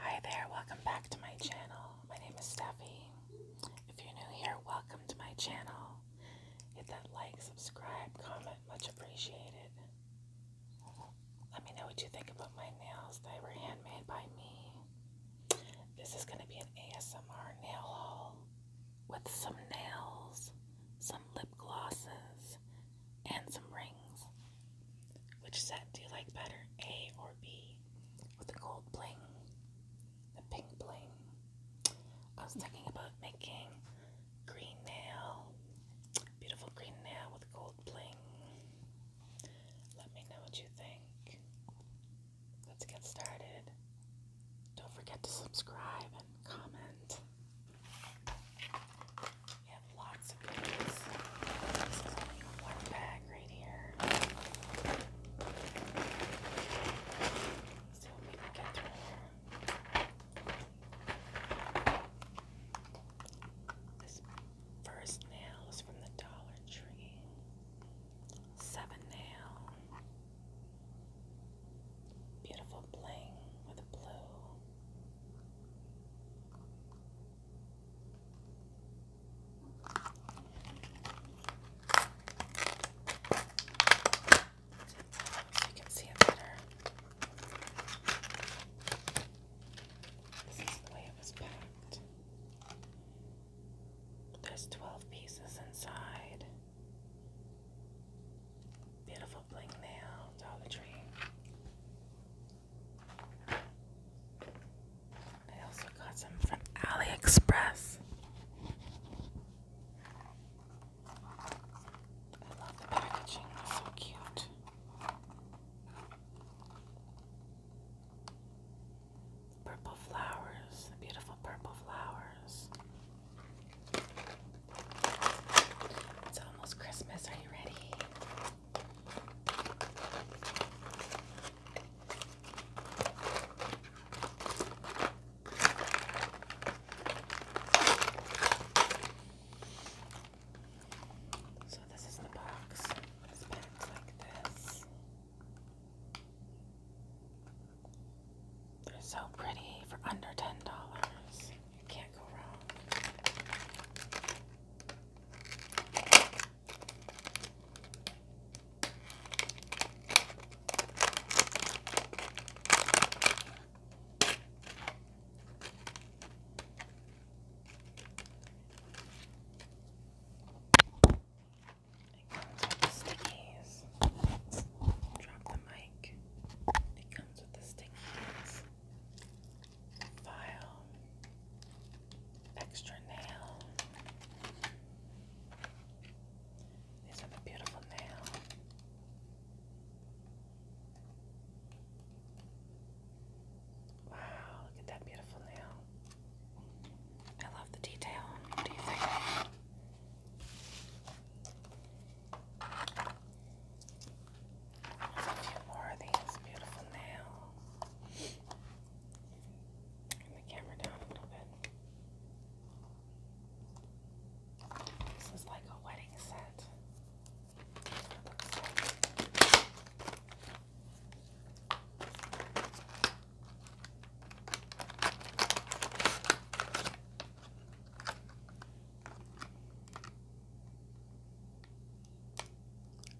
Hi there, welcome back to my channel. My name is Steffi. If you're new here, welcome to my channel. Hit that like, subscribe, comment, much appreciated. Let me know what you think about my nails. They were handmade by me. This is going to be an ASMR nail haul with some nails, some lip glosses, and some rings. Which set do you like better, A or B? With the gold bling, the pink bling. I was talking about making green nail, beautiful green nail with gold bling. Let me know what you think. Let's get started. Don't forget to subscribe and comment. We have lots of goodies. This is only one bag right here. So we can get through This first nail is from the Dollar Tree. Seven nail. Beautiful bling with a blue you can see it better. This is the way it was packed. There's 12 pieces inside. Beautiful bling nail, Dollar Tree. I also got some from AliExpress. I love the packaging, so cute. Purple flowers, beautiful purple flowers. It's almost Christmas. Are you ready? So this is the box. It's packed like this. They're so pretty for under ten dollars. You can't go wrong. It comes with the stickies. Drop the mic. It comes with the stickies file, extra nail. These are the beautiful nail. Wow, look at that beautiful nail. I love the detail. What do you think? There's more of these beautiful nails. Turn the camera down a little bit. This is like a wedding set.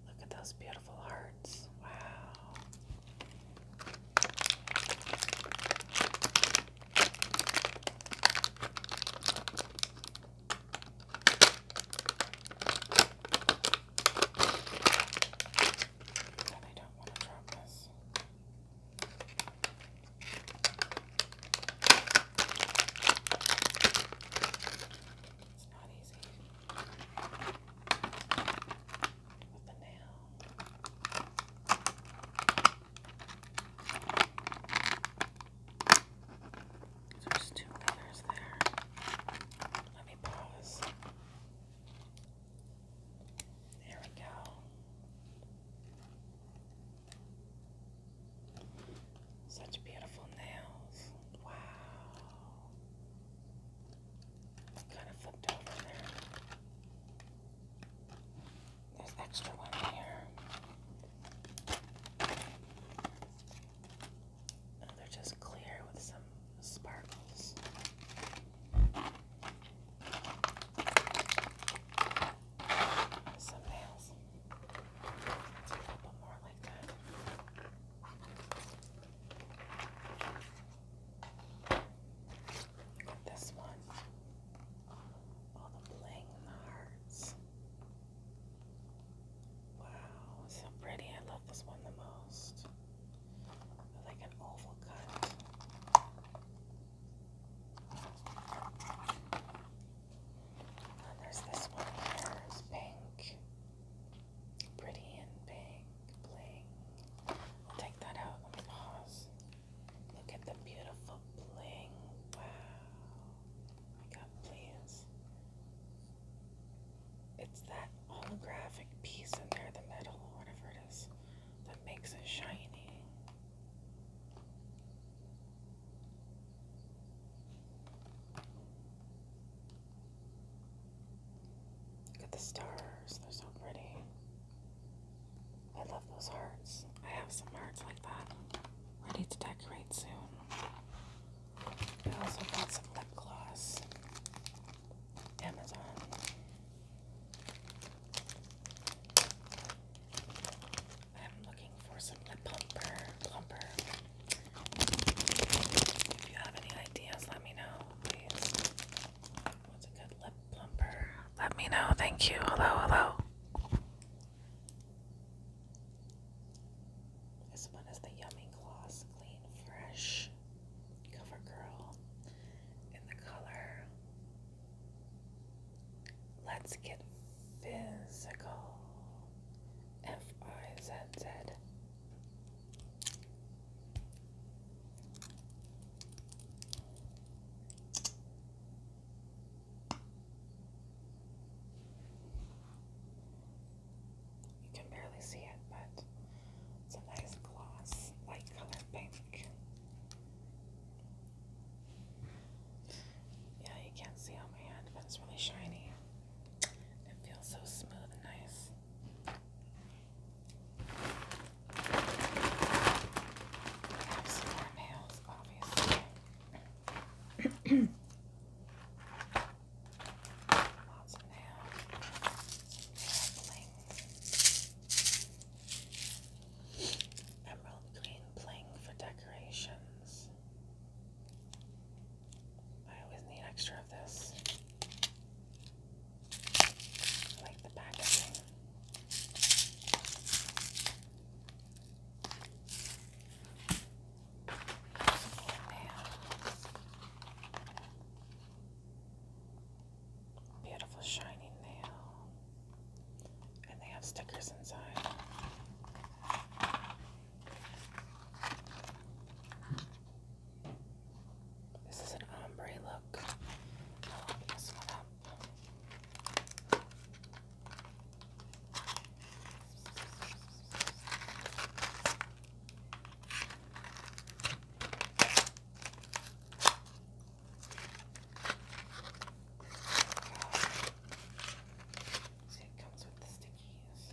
Look at those beautiful hearts. Wow. And I don't want to drop this there's two colors there. Let me pause. There we go. Such beautiful nails. Wow. Kind of flipped over there. There's extra one here. they're just clear with some sparkles. Some nails. Let's a couple more like that. This one, all the bling and the hearts. Wow, so pretty. I love this one the most. Like an oval cut. And there's this one It's pink. Pretty and pink, bling. Take that out. Let me pause. Look at the beautiful bling. Wow. I got please. It's that holographic piece in there, the metal, whatever it is, that makes it shiny. Look at the stars, they're so pretty. I love those hearts. I have some hearts like that ready to decorate soon. I also got some lip gloss. Amazon. I'm looking for some lip plumper, if you have any ideas, let me know, please. What's a good lip plumper? Let me know. Thank you. Hello, hello. This one is the Yummy Gloss Clean Fresh Cover in the color Let's Get Physical F I Z Z. You can barely see it, but it's a nice gloss, light color pink. Yeah, you can't see on my hand, but it's really shiny. It feels so smooth and nice. I have nails, obviously. Lots of nails. bling. Emerald green bling for decorations. I always need extra of this. like the packaging. Beautiful shiny nail. And they have stickers inside. This is an ombre look. See, it comes with the sticky keys.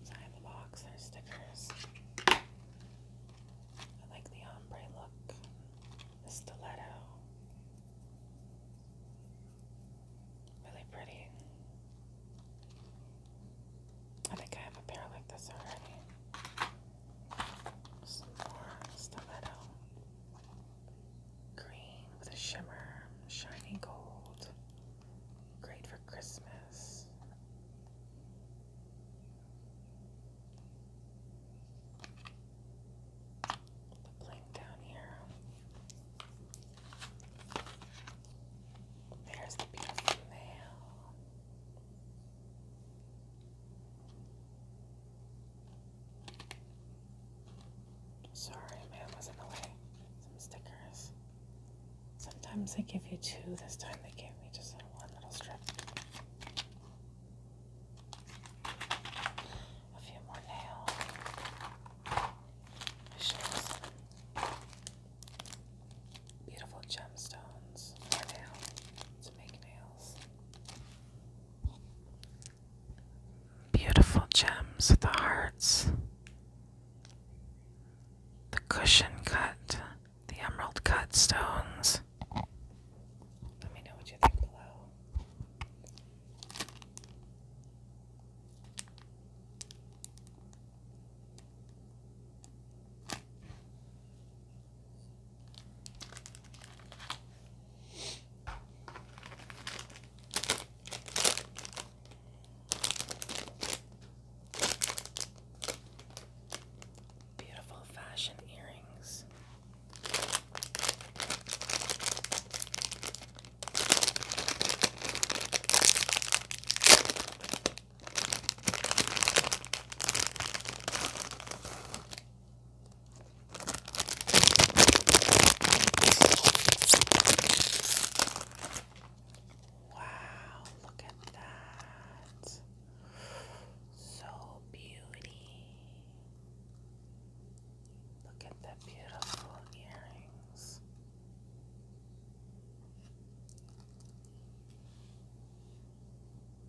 Inside the box are stickers. I like the ombre look, the stiletto. Really pretty. I think I have a pair like this already. Some more stiletto. Green with a shimmer, shiny gold. Great for Christmas. The bling down here. There's the beautiful nail. Sorry, man was in the way. Some stickers. Sometimes they give you two, this time they gave me just a one little strip. A few more nails. beautiful gemstones. More nails to make nails. Beautiful gems with the hearts the cushion cut, the emerald cut stones. Let me know what you think below. Beautiful fashion earrings. Wow, look at that. So beauty. Look at the beautiful earrings.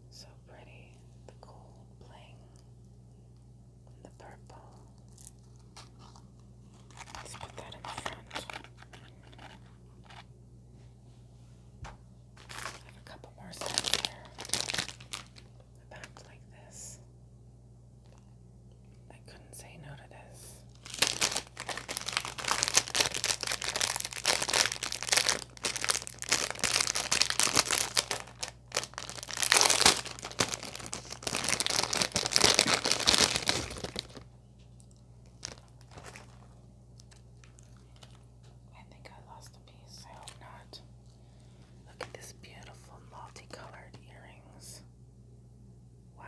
So pretty, the gold bling the purple. Let's put that in the front. I have a couple more steps here. The back like this. I couldn't say no to this. I think I lost a piece. I hope not. Look at this beautiful multicolored earrings. Wow,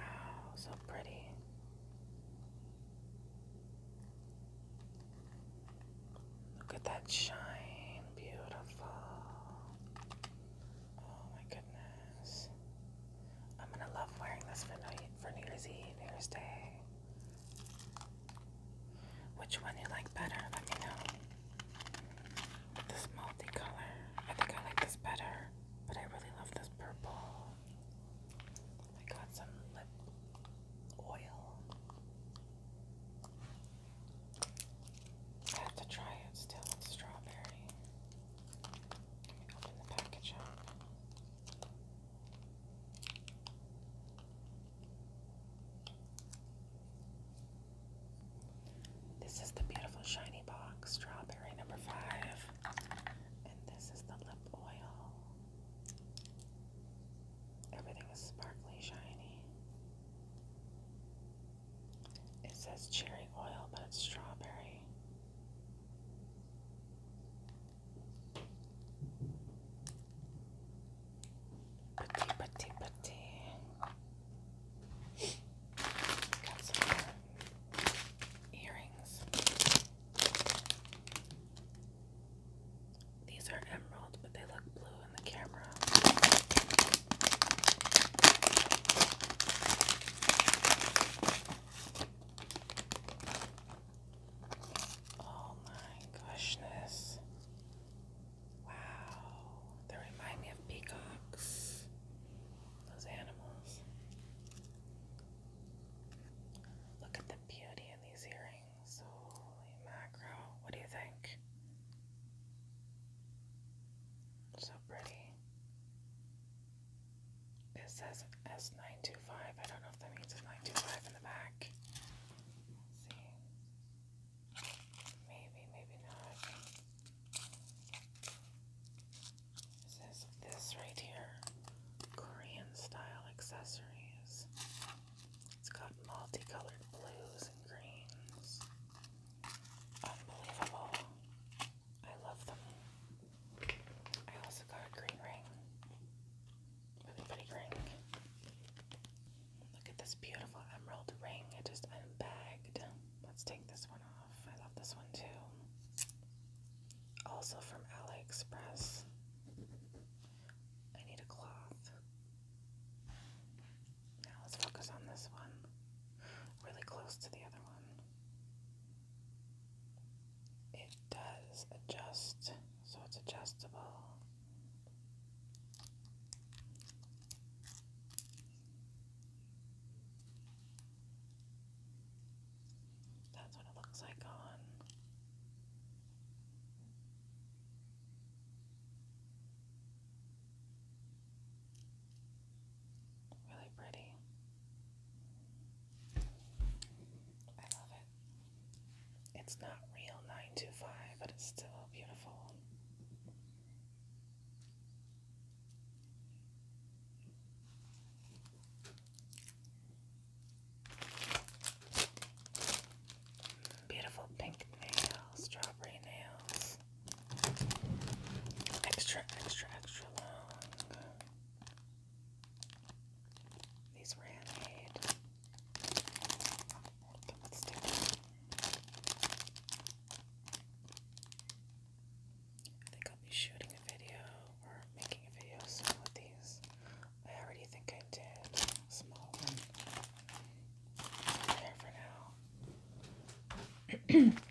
so pretty. Look at that shine. Beautiful. Oh my goodness. I'm gonna love wearing this for, night, for New Year's Eve, New Year's Day. Which one you like better? Let me know. This multicolor. I think I like this better, but I really love this purple. I got some lip oil. I have to try it still with strawberry. This is the beautiful shiny box, strawberry number five. And this is the lip oil. Everything is sparkly, shiny. It says cherry oil, but it's strawberry. Putty, putty, putty. earrings. These are emerald, but they look blue in the camera. Oh my goshness. Wow. They remind me of peacocks. Those animals. Look at the beauty in these earrings. Holy macro. What do you think? So pretty. It says S925. I don't know if that means it's 925 in the back. Let's see. Maybe, maybe not. It says this right here Korean style accessories. It's got multicolored blues and greens. Unbelievable. I love them. I also got a green ring. Really pretty ring. Look at this beautiful emerald ring. I just unbagged. Let's take this one off. I love this one too. Also from AliExpress. I need a cloth. Now let's focus on this one. Really close to the other one it does adjust, so it's adjustable. That's what it looks like on. Really pretty. I love it. It's not real 925, but it's still beautiful. Beautiful pink nails, strawberry nails, extra, extra, extra long. These were handmade. I think I'll be shooting a video or making a video with these. I already think I did. Small one. There for now.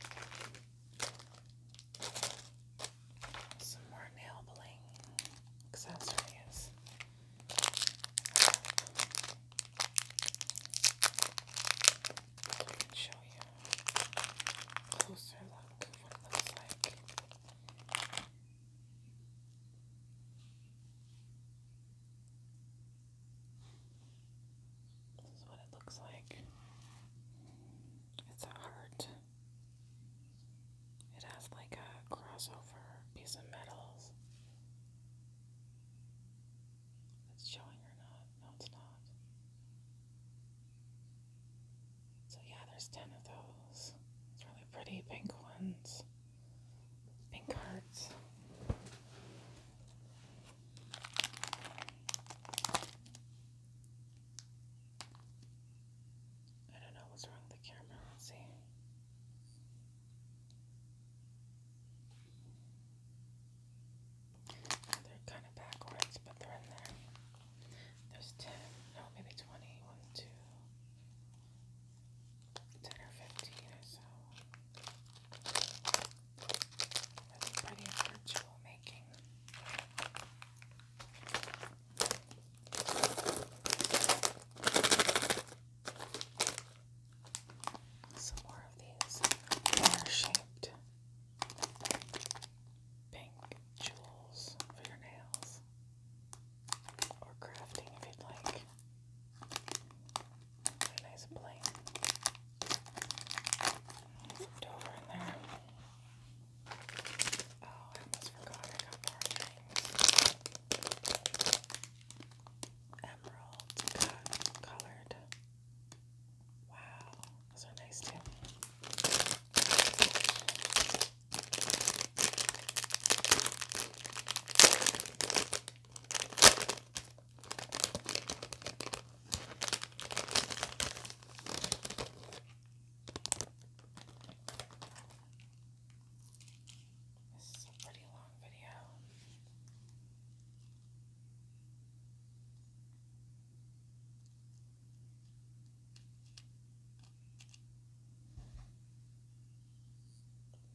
Some more nail bling accessories. I can show you closer look what it looks like. This is what it looks like. It's a heart. It has like a crossover piece of metals. It's showing or not? No, it's not. So yeah, there's ten of those. It's really pretty pink ones. Pink hearts. I don't know what's wrong with the camera. Let's see. They're kind of backwards, but they're in there. There's 10, no, maybe 20, 1, 2, or 15 or so. That's pretty virtual making. Some more of these are shaped pink jewels for your nails or crafting if you'd like. nice plate. Put over there. Oh, I almost forgot I got Emerald colored. Wow, those are nice too. This is a pretty long video.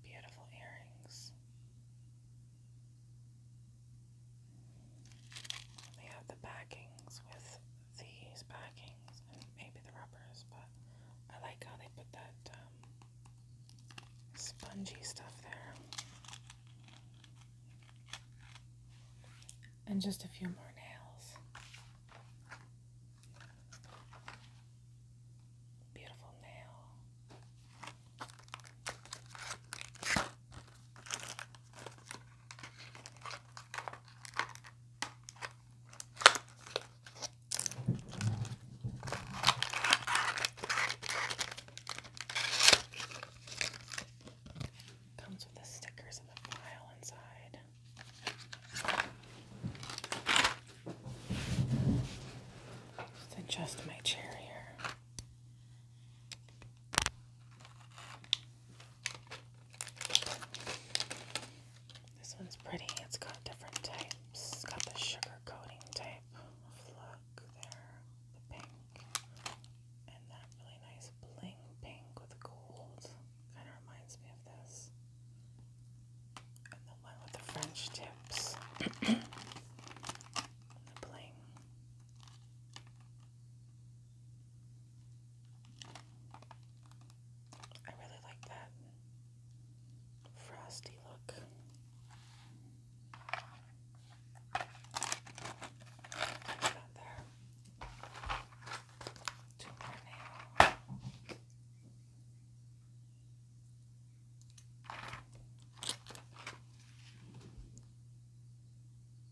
Beautiful earrings. They have the backings with these backings and maybe the rubbers, but I like how they put that um, spongy stuff there. And just a few more nails. Beautiful nail. Comes with the stickers and the file inside. Just adjust my chair here. This one's pretty. It's got different types. It's got the sugar coating type look there, the pink, and that really nice bling pink with gold. Kind of reminds me of this. And the one with the French tips. the bling. I really like that frosty look. That there. Two more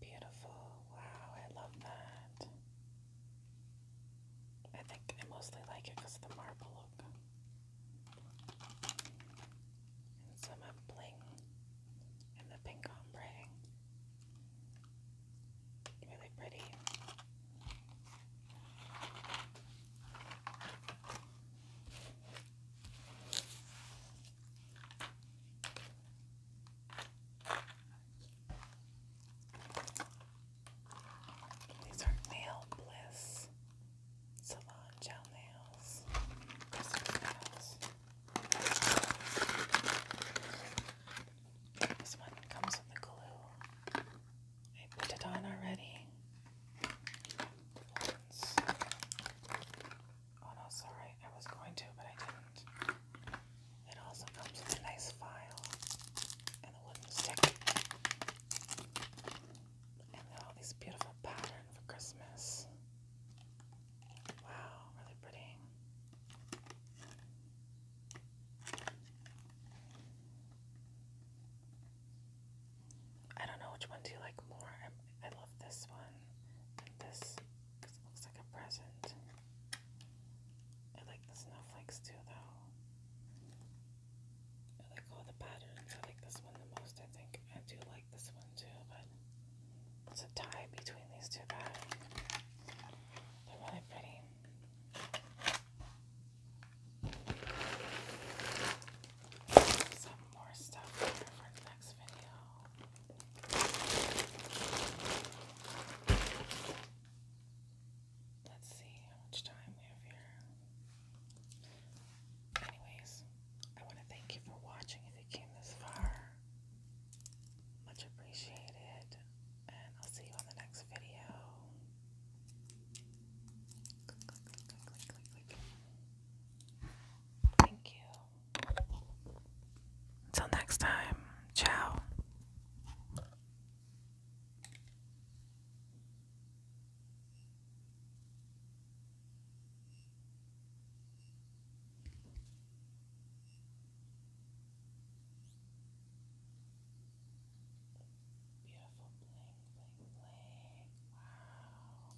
Beautiful. Wow, I love that. I think I mostly like it because of the marble look. And some of bling and the pink ombre. Really pretty. These are nail bliss salon gel nails. This one comes with the glue. I put it on already. Oh no, sorry. I was going to, but I didn't. It also comes with a nice file and a wooden stick. And all these beautiful pattern for Christmas. Wow, really pretty. I don't know which one do you like more. i love this one and this because it looks like a present. I like the snowflakes too, though. I like all the patterns. I like this one the most, I think. I do like this one too, but it's a tie between these two guys. They're really pretty. Some more stuff here for the next video. Let's see how much time we have here. Anyways, I want to thank you for watching if you came this far. Much appreciated. And I'll see you on the next video. Click, click, click, click, click, click. Thank you. Until next time, ciao. Beautiful bling, bling, bling. Wow.